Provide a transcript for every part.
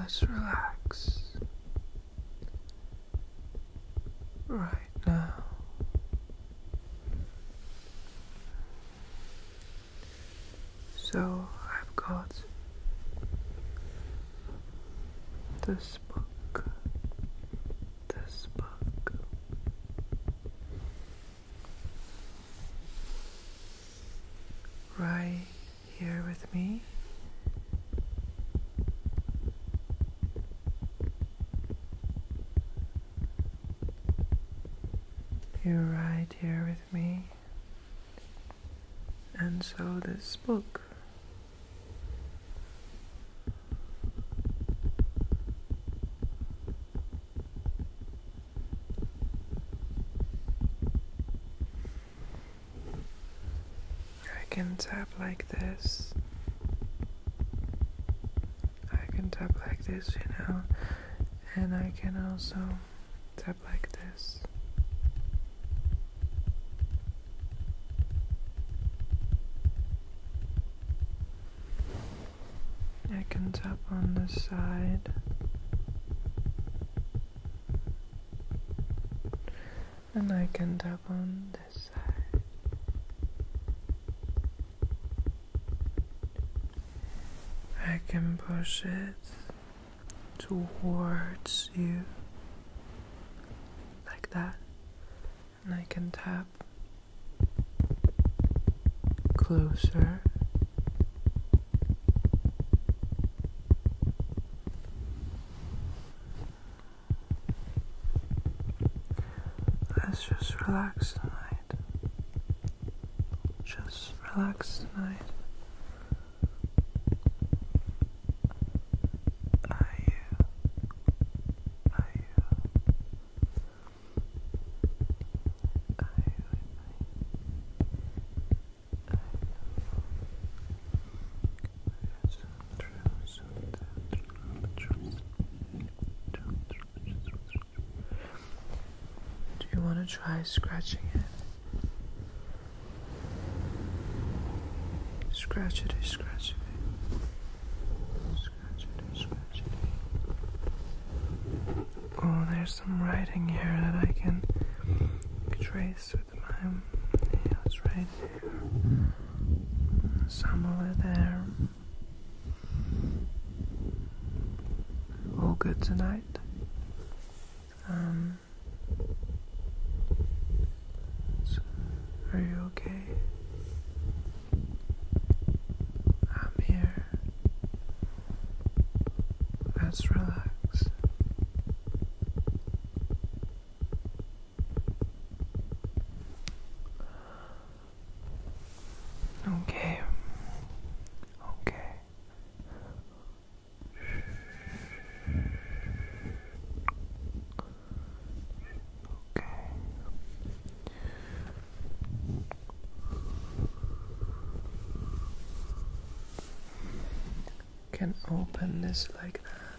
Let's relax right now. So I've got this book, this book, right here with me. You're right here with me, and so this book. I can tap like this. I can tap like this, you know, and I can also tap like this. I can tap on the side. And I can tap on I can push it towards you like that, and I can tap closer. Let's just relax tonight. Just relax tonight. Are you? Are you? Are you with you? Do you want to try scratching it? Scratch it, scratch it. Scratch it, scratch it. Oh, there's some writing here that I can trace with my nails right here some over there. All good tonight. Um, are you okay? I'm here. Let's relax. Okay. Okay. Okay. Can open this like that.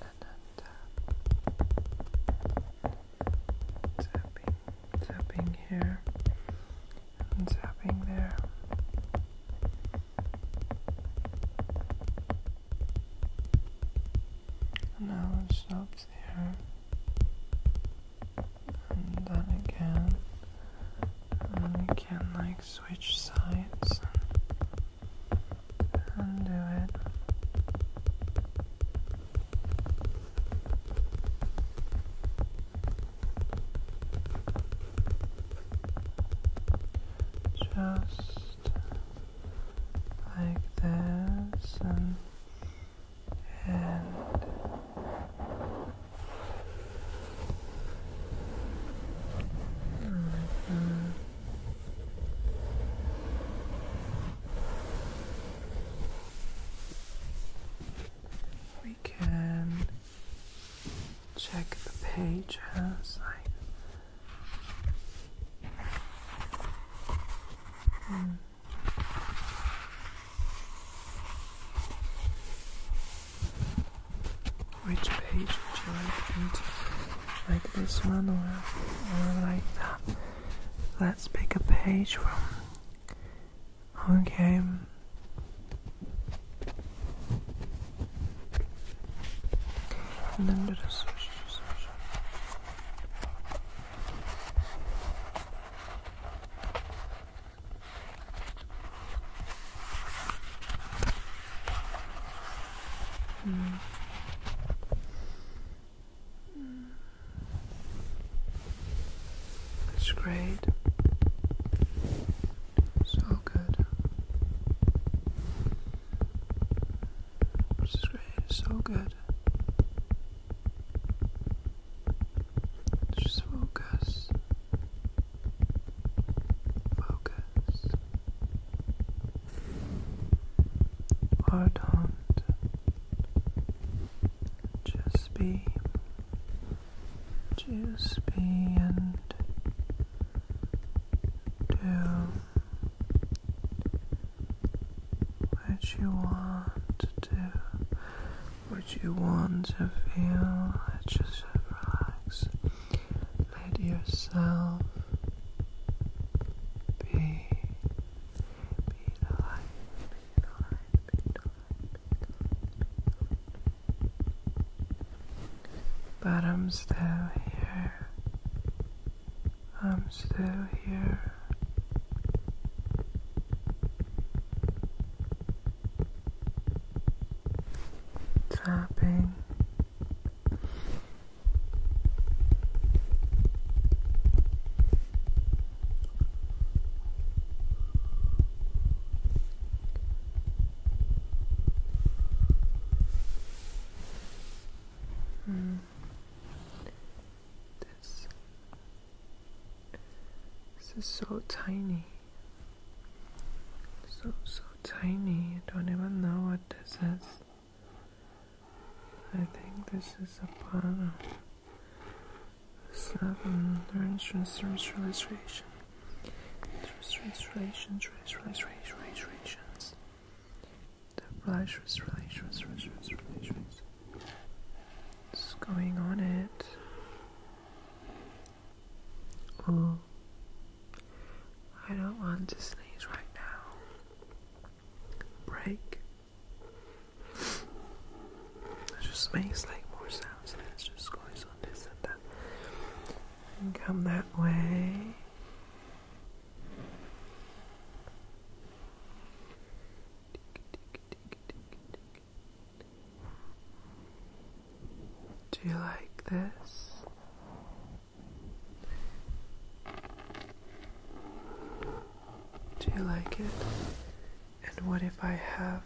and then tap, tapping, tapping here, and tapping there. And now it stops here. And then again, and we like switch sides undo it. Just like this, and, and we can check the page which page would you like me to? Like this one or, or like that? Let's pick a page from. Okay. Mm. It's great. So good. This great. so good. Just focus. Focus. Or do Just be. Just be and do what you want to do, what you want to feel. Let's just relax. Let yourself be, be the light, be the light, be the light. But I'm still here. I'm still here tapping. Mm. This. this is so tiny. So, so tiny. I don't even know what this is. I think this is a part of seven entrance translation. Translation, translation, translations. The flash translations, translations. What's going on it? Oh, I don't want to sneeze right now. Break. It just makes like more sounds and it's just goes on this and that. And come that way. Do you like this? Do you like it? And what if I have?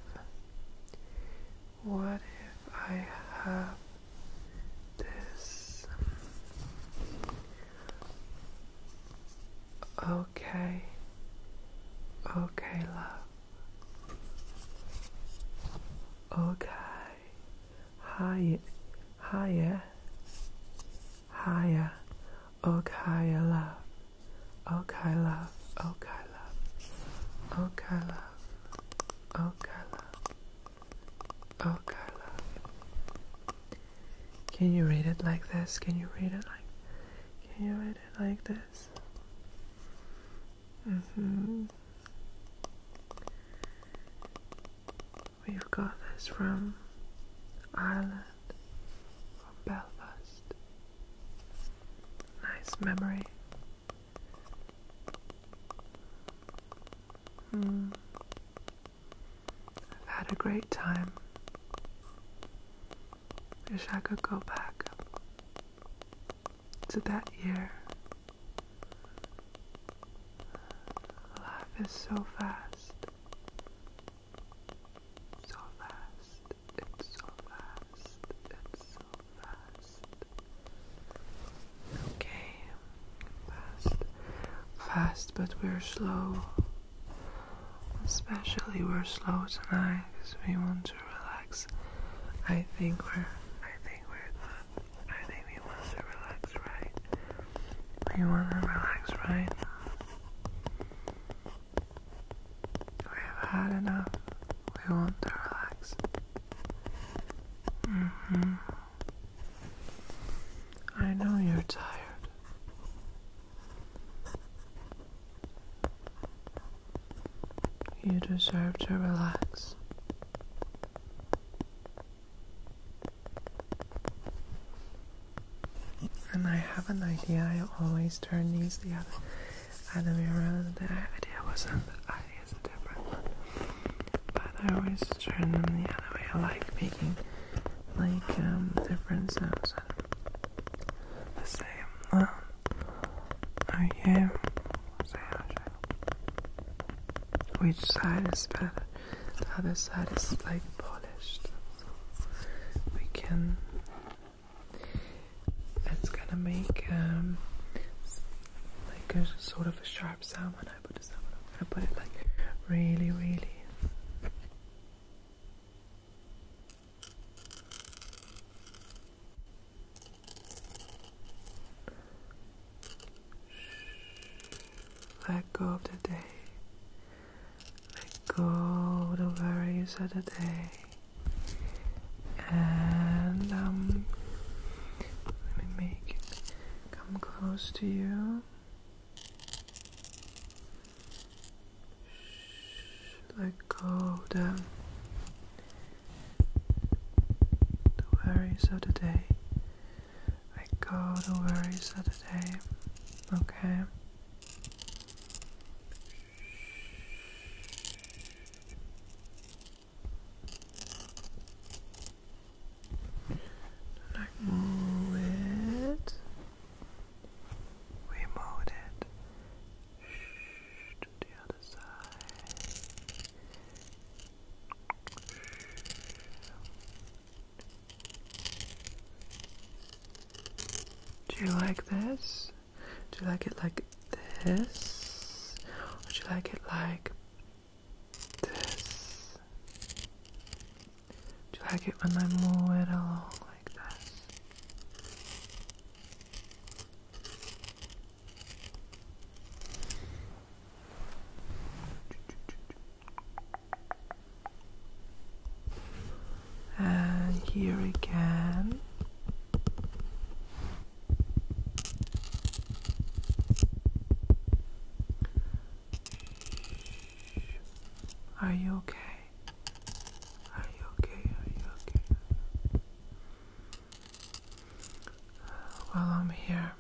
What if I have this? Okay, okay, love. Okay. Higher. Higher. Higher. Okay, love. Okay, love. Okay, love. Okay, love. Okay, love. Okay, love. Can you read it like this? Can you read it like? Can you read it like this? Mm-hmm. We've got this from Ireland, from Belfast. Nice memory. Hmm. I've had a great time. Wish I could go back to that year. Life is so fast. So fast. It's so fast. It's so fast. Okay. Fast. Fast, but we're slow. Especially we're slow tonight because we want to relax. I think we're I think we're I think we want to relax, right? We want to relax, right? We have had enough. We want to relax. Mm hmm I know you're tired. You deserve to relax. And I have an idea. I always turn these the other, way around. The idea wasn't. The idea is a different But I always turn them the other way. I like making like um, different and the same. I am Which side is better? The other side is like polished. So we can. It's gonna make um, like a sort of a sharp sound when I put this on. I'm to put it like really, really. Let go of the day. Let go of the worries of the day. And um, let me make it come close to you let go of the, the worries of the day. Let go of the worries of the day. Okay. Like move it. We moved it. Shh, to the other side. Do you like this? Do you like it like this? Or do you like it like this? Do you like it when I move it along and here again. Are you okay? Are you okay? Are you okay? Uh, well, I'm here.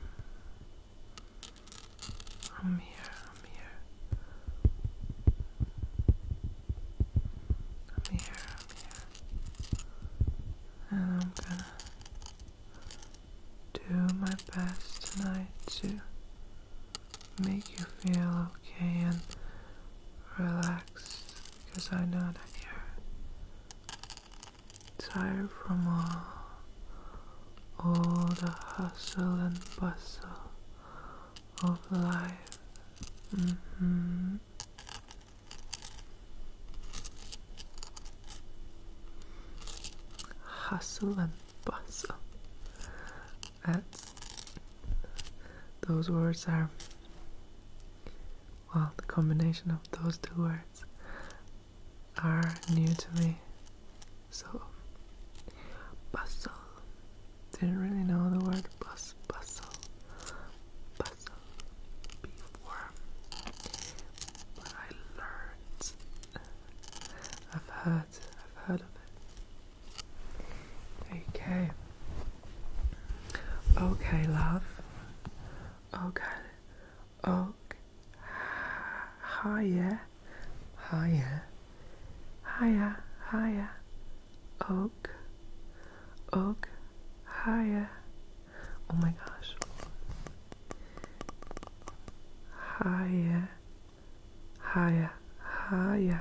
I'm here. I'm here. I'm here. And I'm gonna do my best tonight to make you feel okay and relaxed because I know that you're tired from all, all the hustle and bustle of life. Mm-hmm. Hustle and bustle. That's those words are well the combination of those two words are new to me so bustle didn't really know the word bus bustle bustle before but I learned I've heard I've heard of it Okay. Okay, love. Okay. Okay. Higher. Higher. Higher. Higher. Ok. Ok. Hiya. Oh my gosh. Hiya. Hiya. Hiya.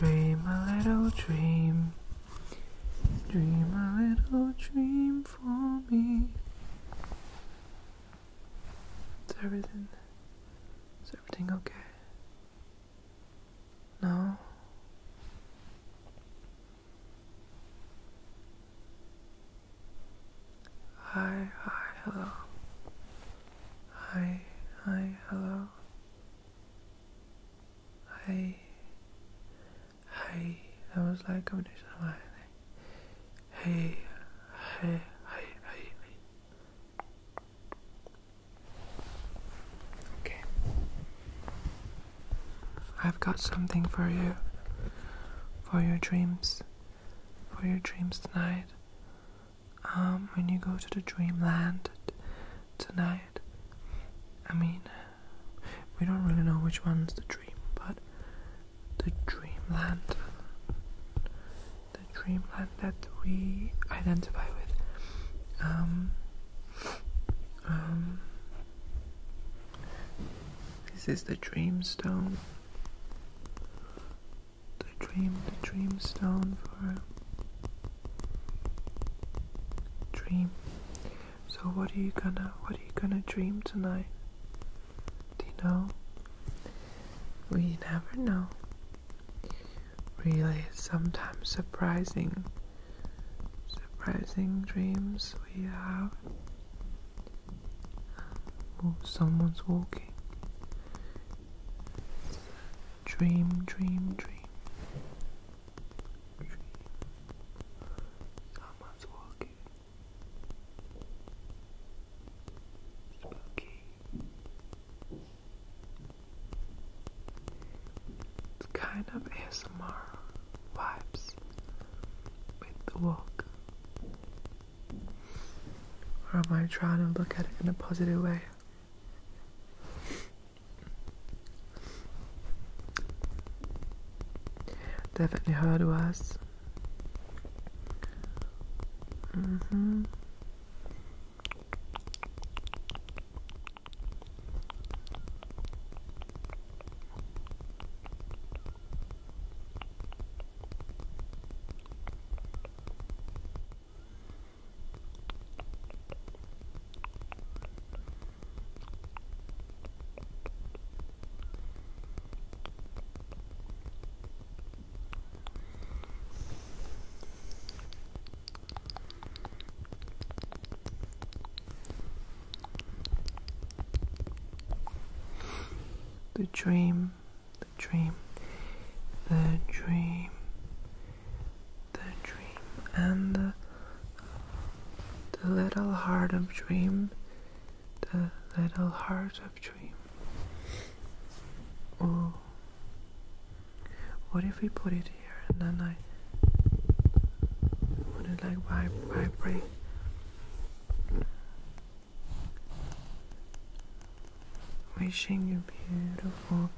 Dream a little dream. Dream a little dream for me. Is everything is everything okay? No. Hi, hi, hello. Hi, hi, hello. Hi. Hey, that was like combination of hey, hey, hey, hey. Okay. I've got something for you. For your dreams. For your dreams tonight. Um, when you go to the dreamland tonight, I mean, we don't really know which one's the dream, but the dreamland, the dreamland that we identify with, um, um, this is the dreamstone, the dream, the dreamstone for dream. So what are you gonna what are you gonna dream tonight? Do you know? We never know. Really sometimes surprising surprising dreams we have. Oh someone's walking. Dream, dream, dream dream. It's kind of ASMR vibes with the walk. Or am I trying to look at it in a positive way? Definitely heard worse. The dream, the dream, the dream, the dream and the, little heart of dream, the little heart of dream. Oh, what if we put it here and then I would it like vibrate? Wishing you beautiful.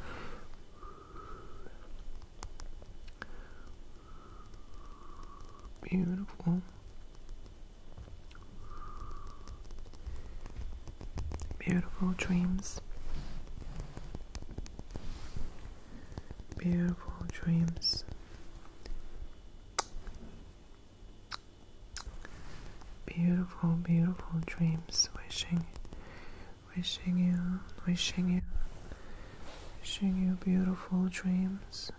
Beautiful. Beautiful dreams. Beautiful dreams. Beautiful, beautiful dreams. Wishing Wishing you, wishing you, wishing you beautiful dreams.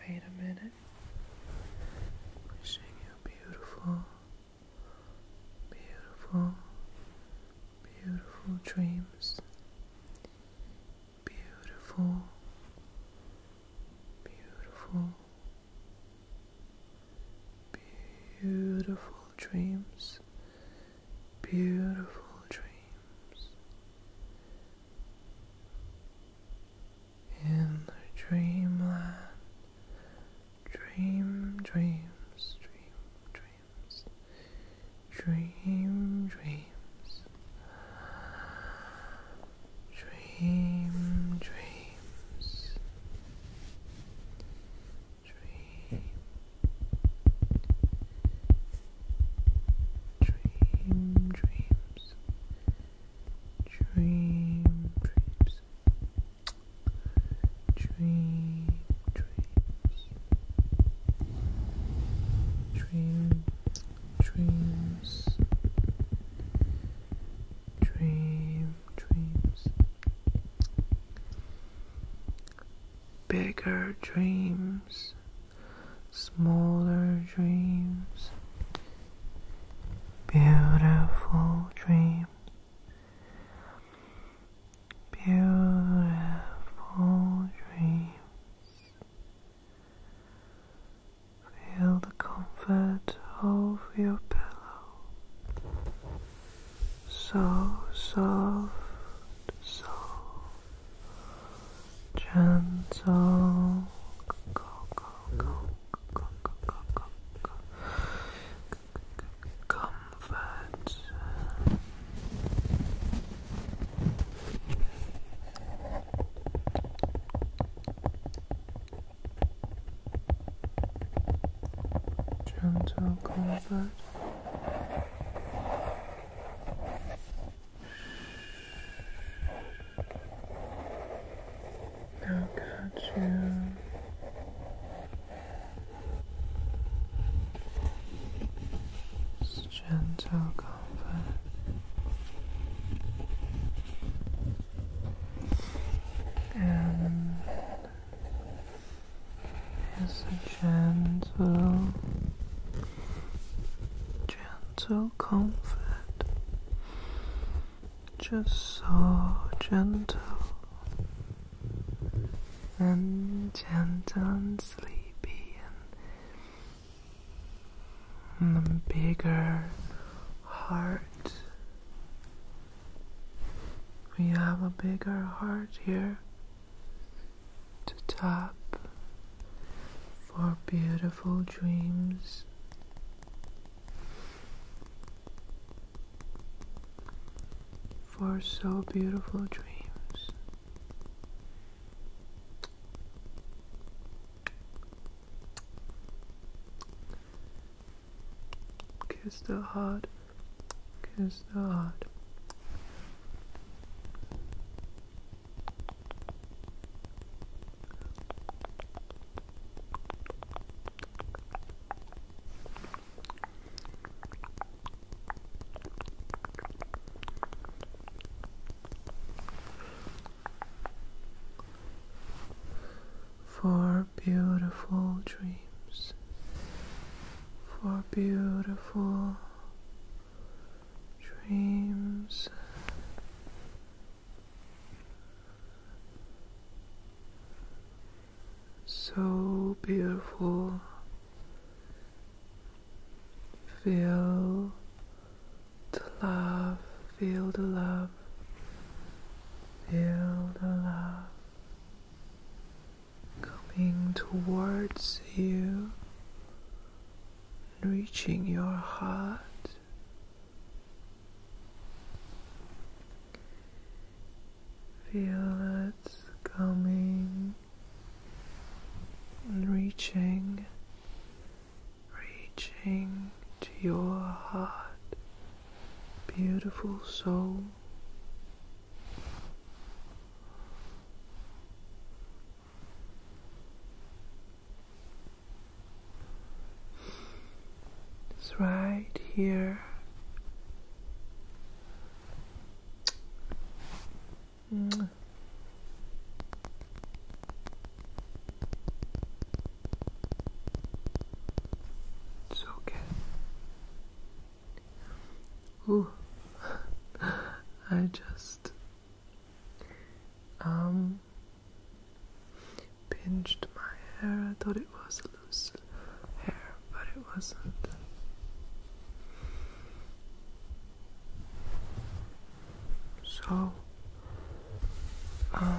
Wait a minute. Wishing you beautiful, beautiful, beautiful dreams. Beautiful, beautiful, beautiful dreams, beautiful dreams. In the dreamland, dream dreams, dream dreams, dream dreams, dream dreams. Dream, dream, dreams, dream, dreams, dream, dreams, dream, dreams, dream, dreams. Bigger dreams, smaller dreams, beautiful dreams, beautiful dreams. Feel the comfort of your pillow so soft, so gentle. Go, go, go, go, go, go, go, go. Comfort gentle comfort. Now catch you. It's gentle comfort. And is a gentle, gentle comfort, just so gentle and gentle and sleepy and, and bigger heart we have a bigger heart here to tap for beautiful dreams. For so beautiful dreams kiss the heart, kiss the heart for beautiful dreams, for beautiful dreams. So beautiful. Feel the love, feel the love love, feel the love coming towards you, reaching your heart. Feel it coming reaching, reaching to your heart beautiful soul. It's right here. It's okay. Ooh. I just um pinched my hair. I thought it was loose hair, but it wasn't. So, um,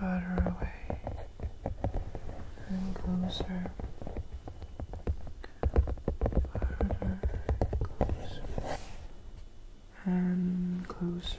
Further away and closer. Further, closer and closer.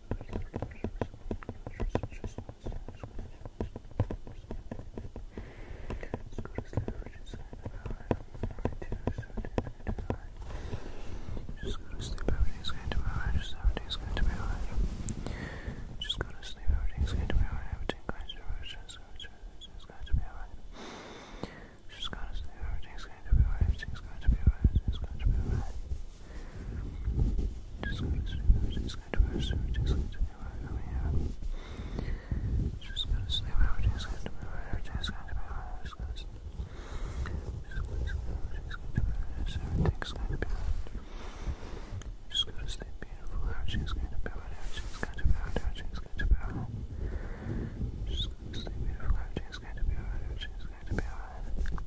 Just go to sleep, everything's going to be alright. Just everything's going to be alright. Just go to sleep, everything's going to be alright. Everything's going to be alright. Everything's going to be alright. Just go to sleep, everything's going to be alright. Everything's going to be alright. Everything's going to be alright. Just going to sleep, just going to rest, everything's going to be right over here. Just going to sleep, everything's going to be right, everything's going to be right, everything's going to sleep. Just going to sleep, everything's going to be right, everything's going to be right. Just going to sleep beautiful, everything's going to be right, everything's going to be right, everything's going to be right. Just going to sleep beautiful, everything's going to be right, everything's going to be right.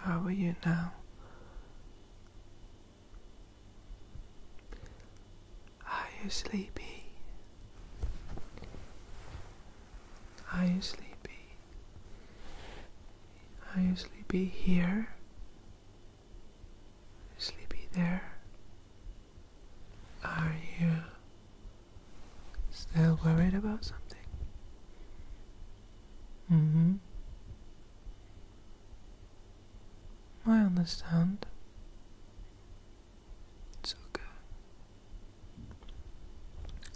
How are you now? Are you sleepy? Are you sleepy? Are you sleepy here? Sleepy there? Are you Still worried about something? Mm hmm. I understand. It's okay.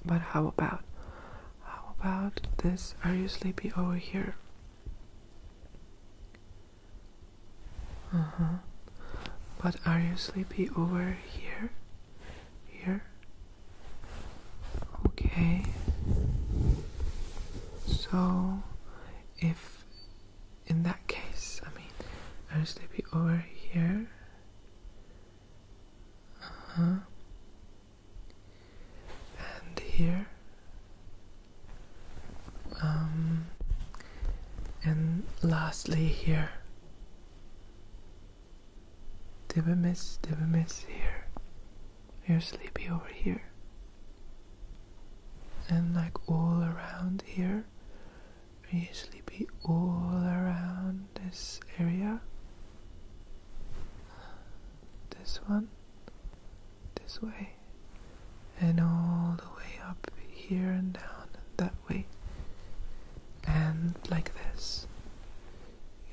But how about, how about this? Are you sleepy over here? Uh huh. But are you sleepy over here? here. Okay. So, if in that case, I mean, I'll just be over here. Uh huh. And here. Um. And lastly, here miss? Dibamis, miss here. You're sleepy over here. And like all around here. Are you sleepy all around this area? This one? This way? And all the way up here and down that way? And like this?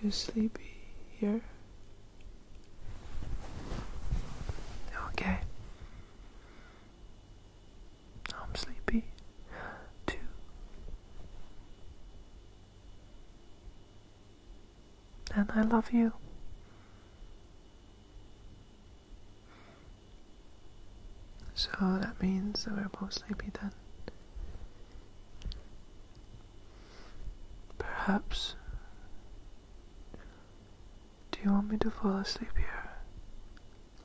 You are sleepy here? Okay. I'm sleepy too. And I love you. So that means that we're both sleepy then. Perhaps. Do you want me to fall asleep here?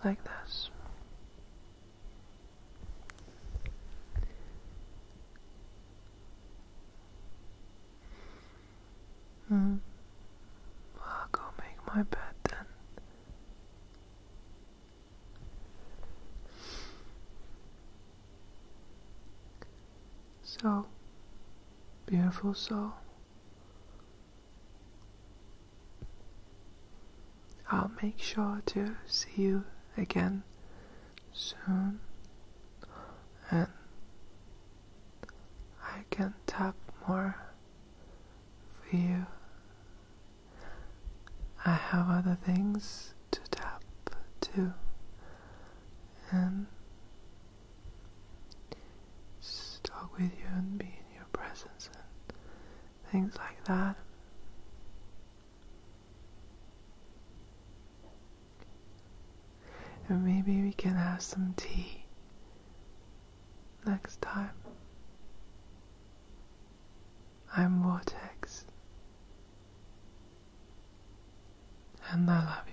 Like this? Hmm. I'll go make my bed then. So, beautiful soul, I'll make sure to see you again soon, and I can tap more for you I have other things to tap to and just talk with you and be in your presence and things like that. And maybe we can have some tea next time. I'm Vortex. And I love you.